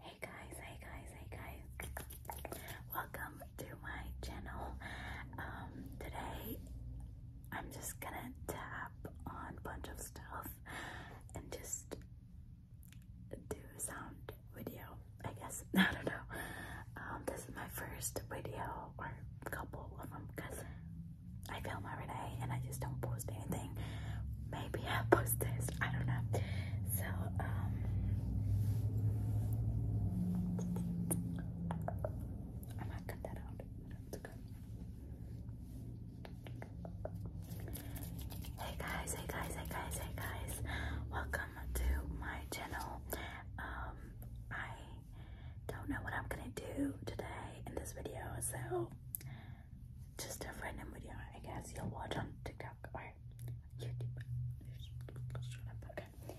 Hey guys, hey guys, hey guys. Welcome to my channel. Um, today I'm just gonna tap on a bunch of stuff and just do a sound video, I guess. I don't know. Um, this is my first video or couple of them because I film every day and I just don't post anything. Maybe i post this. I don't know. So, um Hey guys, hey guys, hey guys, hey guys. Welcome to my channel. Um I don't know what I'm gonna do today in this video, so just a random video, I guess you'll watch on TikTok or YouTube. Okay.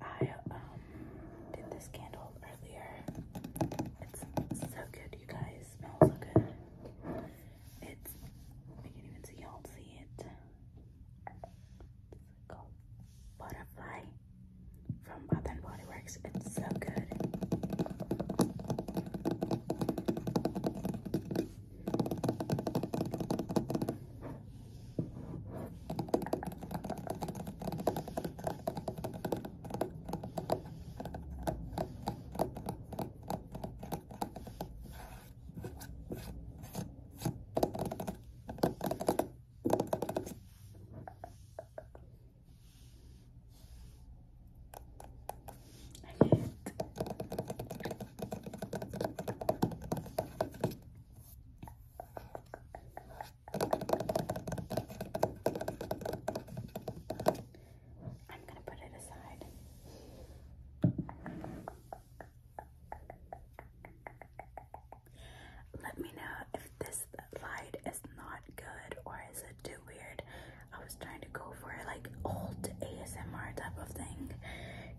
I um did this candle earlier. It's so good, you guys. It smells so good. It's I can't even see y'all see it. It's called butterfly from Bath and Body Works. It's so good. I am going to put it aside. Let me know if this light is not good or is it too weird. I was trying to go for like old ASMR type of thing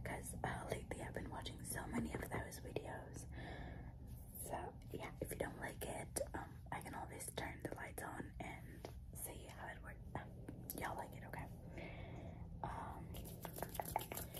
because uh, lately I've been watching so many of those videos. So yeah, if you don't like it, um, I can always turn the lights on and see how it works. Uh, y'all like it, okay? Um, so I don't know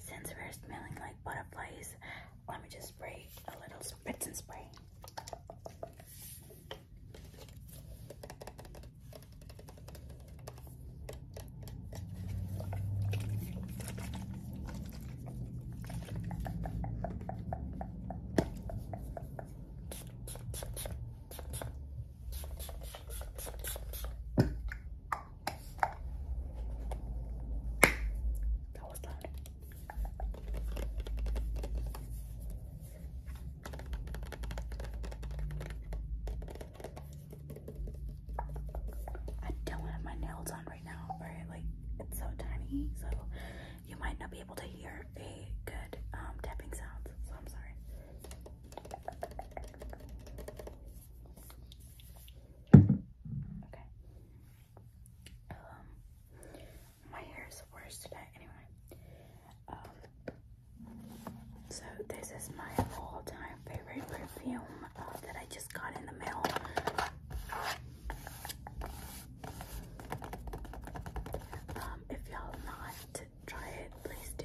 Since we're smelling like butterflies, let me just spray a little spritz and spray. That was loud. I don't have my nails on right now, right? Like it's so tiny, so you might not be able to hear a good um, tapping sound. So I'm sorry. Okay. Um, my hair is worse today. Anyway. Um, so this is my all-time favorite perfume uh, that I just got in the mail. Um, if y'all not try it, please do.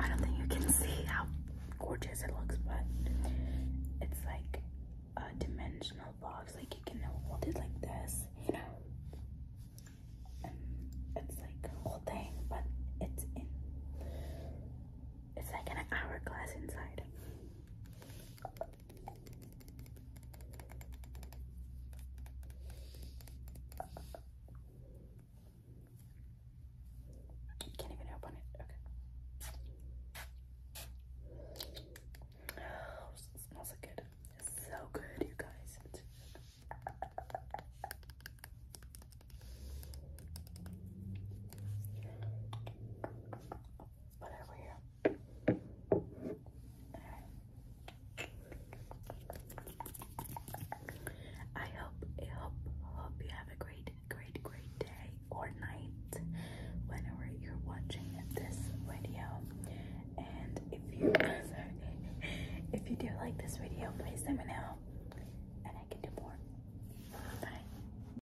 I don't think you can see how gorgeous it looks, but it's like a dimensional box. Like you can hold it like this, you know. it's like a whole thing, but it's in it's like an hourglass inside. Can't even open it. Okay. Oh, smells good. It's so good, you guys. It's Put it here. I hope, I hope, hope you have a great, great, great day or night whenever you're watching this video. And if you, if you do like this video, please let me know, and I can do more. Bye.